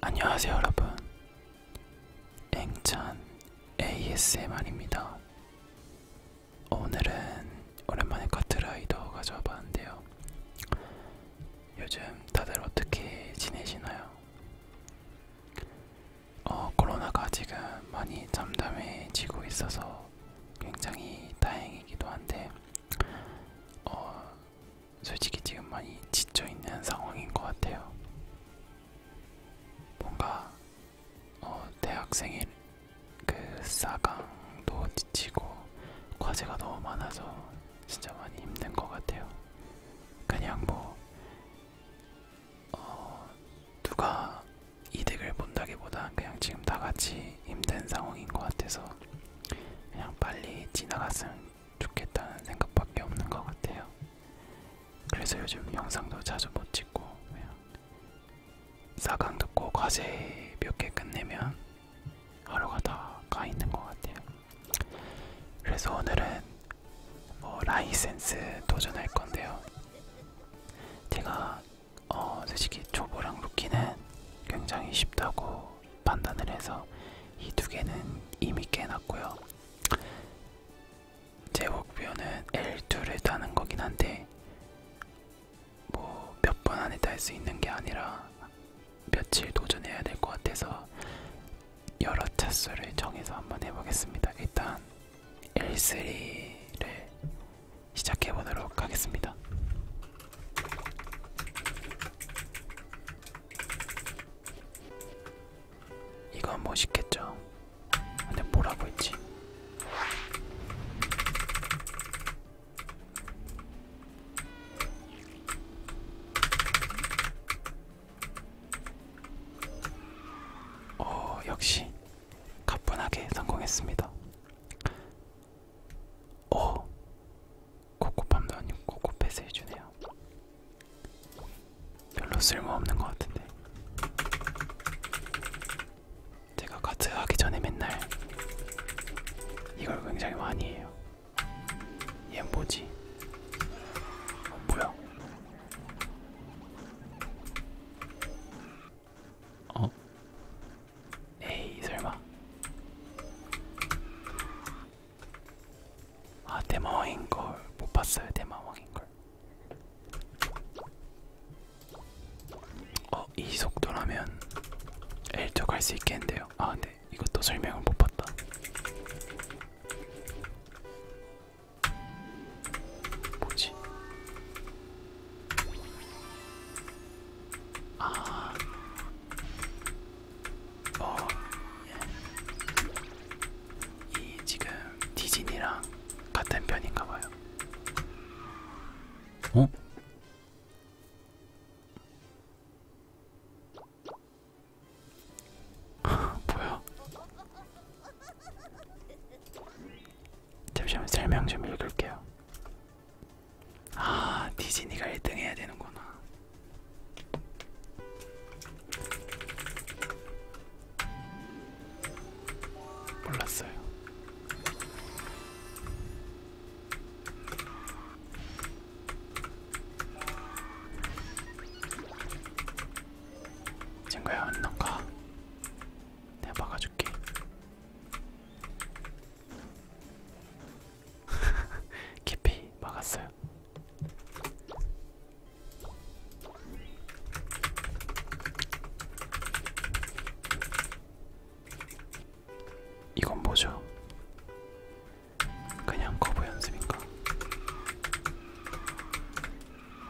안녕하세요 여러분 앵찬 ASMR입니다 오늘은 오랜만에 카트라이더 가져와 봤는데요 요즘 다들 어떻게 지내시나요? 어, 코로나가 지금 많이 잠잠해지고 있어서 굉장히 다행이기도 한데 어, 솔직히 지금 많이 지쳐있는 상황인 것 같아요. 뭔가 어, 대학생의 그 싸강도 지치고 과제가 너무 많아서 진짜 많이 힘든 것 같아요. 그냥 뭐 어, 누가 이득을 본다기보다 그냥 지금 다 같이 힘든 상황인 것 같아서 그냥 빨리 지나갔으면 좋겠다는 생각밖에 없는 것 같아요. 그래서 요즘 영상도 자주 못 찍고 그냥 사강 듣고 과제 몇 개 끝내면 하루가 다 가 있는 것 같아요. 그래서 오늘은 뭐 라이센스 도전할 건데요. 제가 어, 솔직히 초보랑 루키는 굉장히 쉽다고 판단을 해서 이 두 개는 이미 깨놨고요. 제 목표는 L2를 따는 거긴 한데 뭐 몇 번 안에 딸수 있는 게 아니라 며칠 도전해야 될 것 같아서 여러 차수를 정해서 한번 해보겠습니다. 일단 L3를 시작해 보도록 하겠습니다. 이건 멋있겠죠? 근데 뭐라고 했지? 어, 역시 가뿐하게 성공했습니다. 어 코코팜도 아니고 코코패스 해주네요 별로 쓸모없는 것 같은데 제가 가트 하기 전에 맨날 이걸 굉장히 많이 해요 얘 뭐지? 어, 뭐야? 어? 에이 설마 아 대마왕인걸 못봤어요 대마왕인걸 어? 이 속도라면 엘쪽 갈수 있겠는데요 아 근데 네. 이것도 설명을 못봤다 뭐지? 아. 어. 예. 이 지금 디즈니랑 같은 편인가 봐요. 어? 뭐야? 잠시만 설명 좀 읽을게요. 아 디즈니가 1등 해야 되는구나. 몰랐어요. 친구야, 안녕 가. 내가 막아줄게. 깊이 막았어요. 이건 뭐죠? 그냥 커브 연습인가?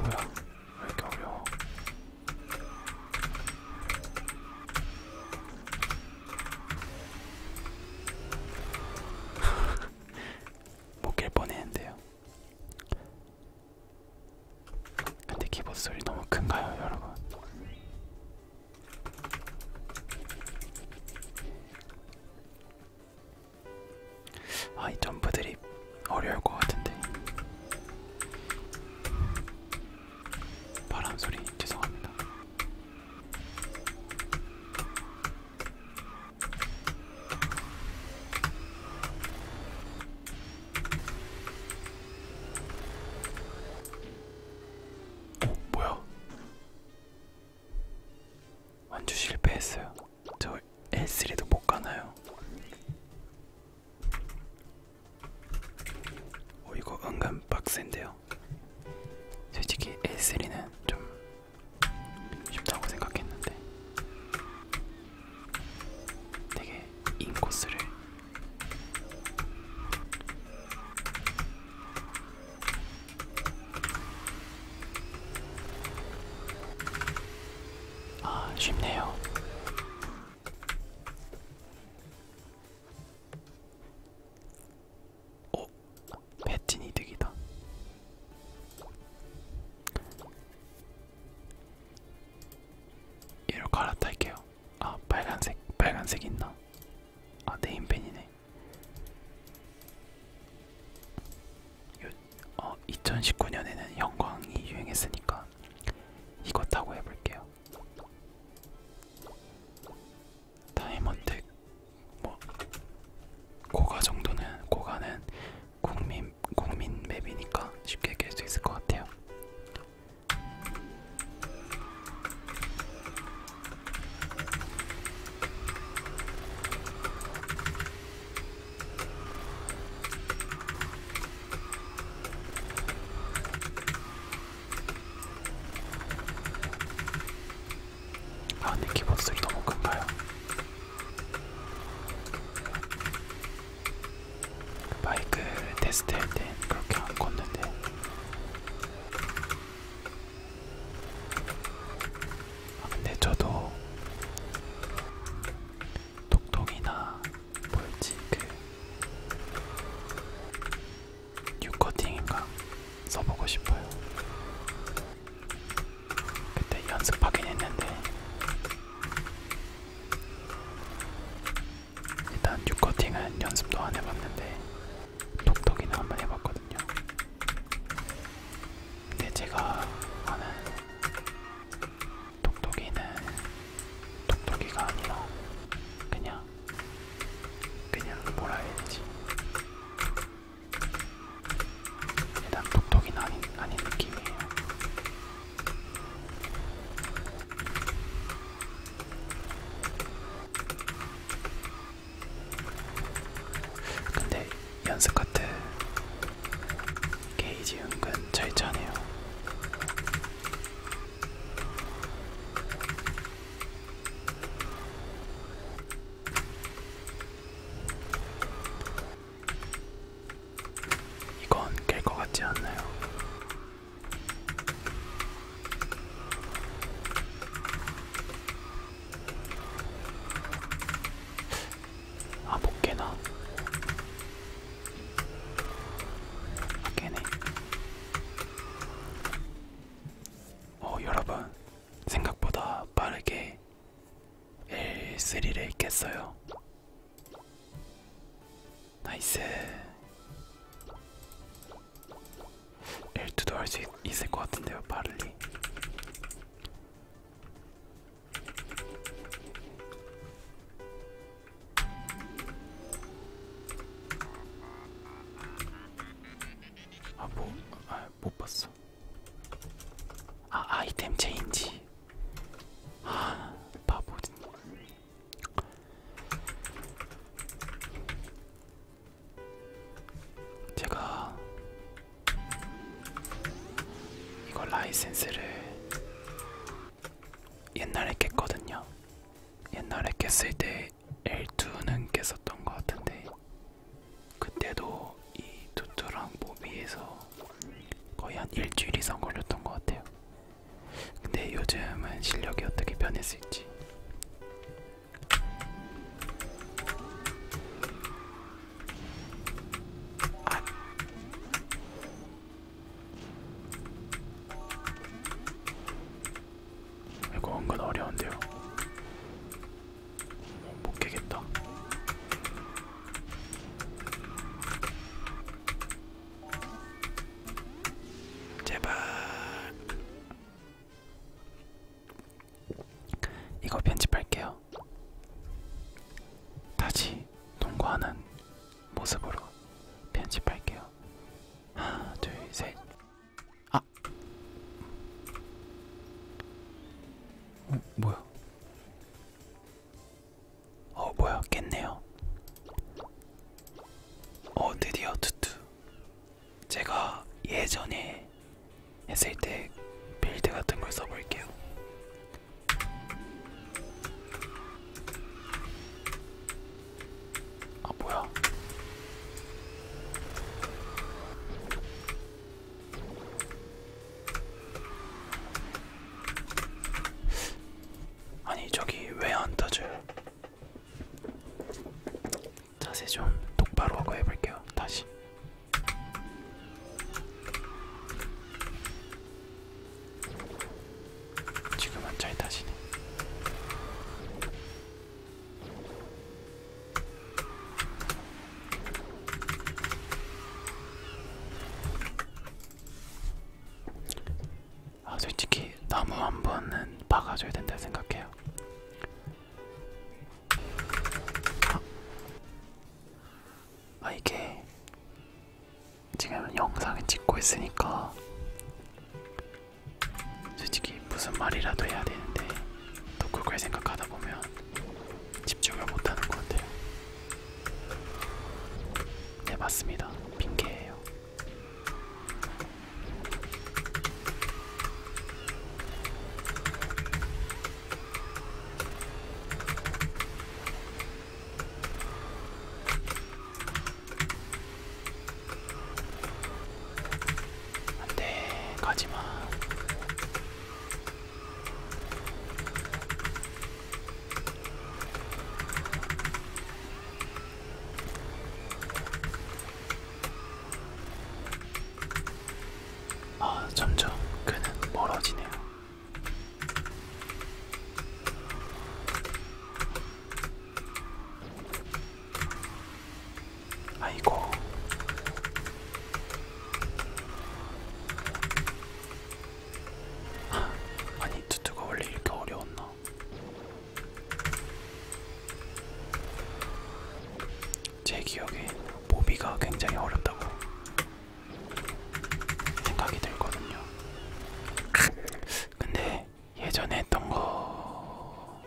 뭐야? 왜 이렇게 어려워? 못깰 뻔했는데요. 근데 키보드 소리 너무 큰가요, 여러분? 아, 이 점프들이 어려울 것 같은데. 바람 소리 죄송합니다. 오, 어, 뭐야? 완주 실패했어요. 저 L3도 못 가나요? 오 어, 이거 은근 빡센데요. 솔직히 A3는 좀 쉽다고 생각했는데 되게 인코스를 아 쉽네요. 오, 어? 배틴 이득이다. 이로 갈아탈게요. 아, 빨간색, 빨간색 있나? 아, 네임펜이네. 요, 어, 2019년에는 형광이 유행했으니까 테니까 이것하고 해볼게요. 다이몬드 뭐 고가 정도는 고가는 국민 국민 맵이니까 쉽게 깰 수 있을 것 같아요. 아 근데 키보드 소리 너무 큰가요? 마이크를 테스트할 때 그렇게 안 컸는데 아 근데 저도 톡톡이나 뭐였지 그 뉴코팅인가 써보고 싶어요. 그때 연습하긴 했는데 일단 뉴코팅은 연습도 안 해봤는데 톡톡이는 한번 해봤거든요. 근데 제가 하는 톡톡이는 톡톡이가 아니라 그냥 그냥 뭐라 해야 되지? 일단 독독이는 아닌, 아닌 느낌이에요. 근데 연습카트 게이지 은근 잘 차네요. 이건 깰 것 같지 않나요? 아, 못 깨나? 깨네. 어, 여러분, 생각보다 빠르게 L3를 깼어요. 나이스. L2도 할 수 있을 것 같은데요, 빠르리. 아, 뭐, 아, 못 봤어. 아, 아이템 체인지. 아, 바보. 제가 이거 라이센스를 옛날에 깼거든요. 옛날에 깼을 때 L2는 깼었던 것 같은데 그때도 이 두투랑 모비에서 거의 한 일주일 이상 걸렸던 것 같아요. 근데 요즘은 실력이 어떻게 변했을지. 아. 이거 은근 어려운데요. 어, 못 깨겠다. 제발. 이거 편집할게요. 다시 통과하는 모습으로 편집할게요. 하나, 둘, 셋. 아, 어, 뭐야? 어, 뭐야? 깼네요. 어, 드디어 투투. 제가 예전에 했을 때 빌드 같은 걸 써볼게요. 아 뭐야? 아니 저기 왜 안 터져요? 자세 좀 똑바로 하고 해볼게요. 다시. 지금 한차에 타시네. 아 솔직히 나무 한 번은 박아줘야 된다 생각해요. 아, 아 이게 지금 영상을 찍고 있으니까 솔직히 무슨 말이라도 해야 되는데 또 그걸 생각하다 보면 집중을 못하는 것 같아요. 네 맞습니다. 핑계예요. 안돼 네, 가지마 아 점점 그는 멀어지네요. 아이고 아니 투투가 원래 이렇게 어려웠나? 제 기억에 모비가 굉장히 어렵다고 생각이 들거든요. 근데 네 예전에 했던 거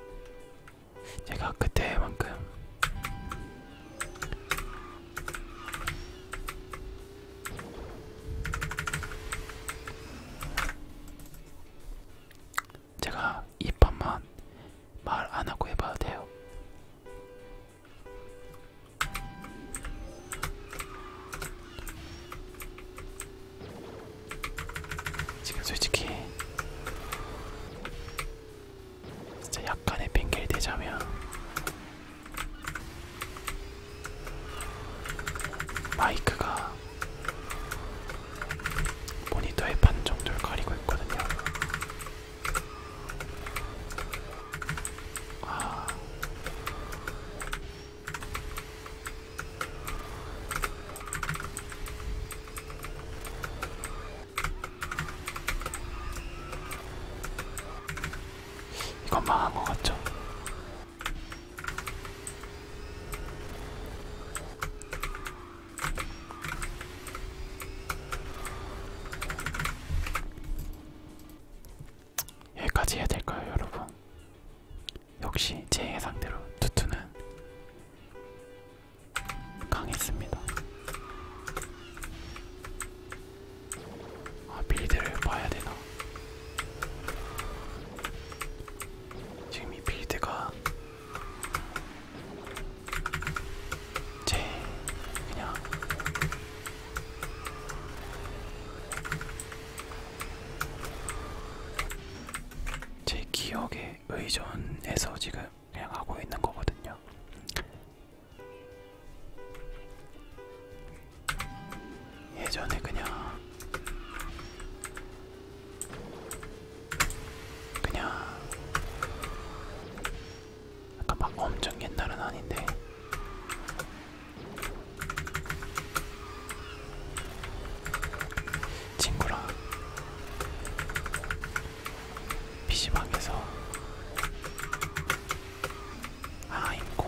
제가 그때만큼 제가 이 판만 말 안하고 해봐도 돼요 지금 솔직히 진짜 약간의 핑계를 대자면 마이크가 모니터의 반 정도를 가리고 있거든요. 아, 이건 망한 것 같죠? 여기까지 해야 될까요, 여러분? 역시 제 예상대로 투투는 강했습니다. 아, 빌드를 봐야 되나? 지금 이 빌드가 제 그냥 제 기억에 의존해서 지금 그냥 하고 있는 거거든요. 예전에 그냥 그냥 약간 막 엄청 옛날은 아닌데 친구랑 PC방에서 아임공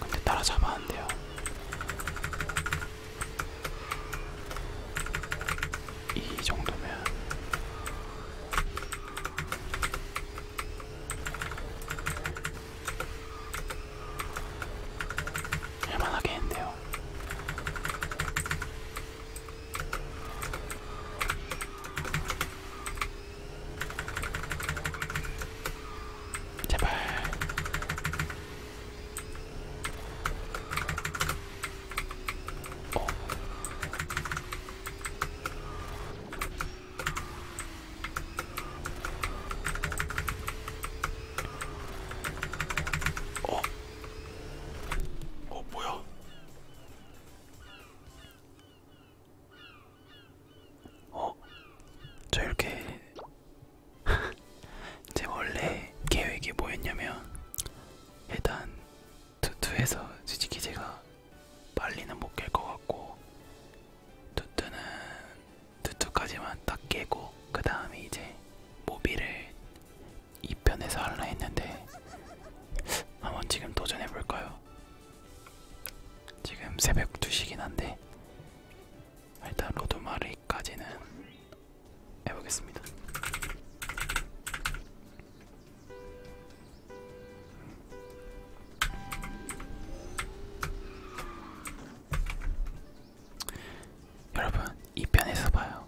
근데 따라잡아 안 돼요. 이 정도면 할만하게 했는데요. 제발 어. 어. 어 뭐야? 어? 저 이렇게 제 원래 계획이 뭐였냐면 일단 투투에서 솔직히 제가 빨리는 못 깰 것 같고 투투는 투투까지만 딱 깨고 그 다음에 이제 모비를 2편에서 할라 했는데 한번 지금 도전해볼까요? 지금 새벽 2시긴 한데 일단 로드마리까지는 해보겠습니다. 여러분, 이 편에서 봐요.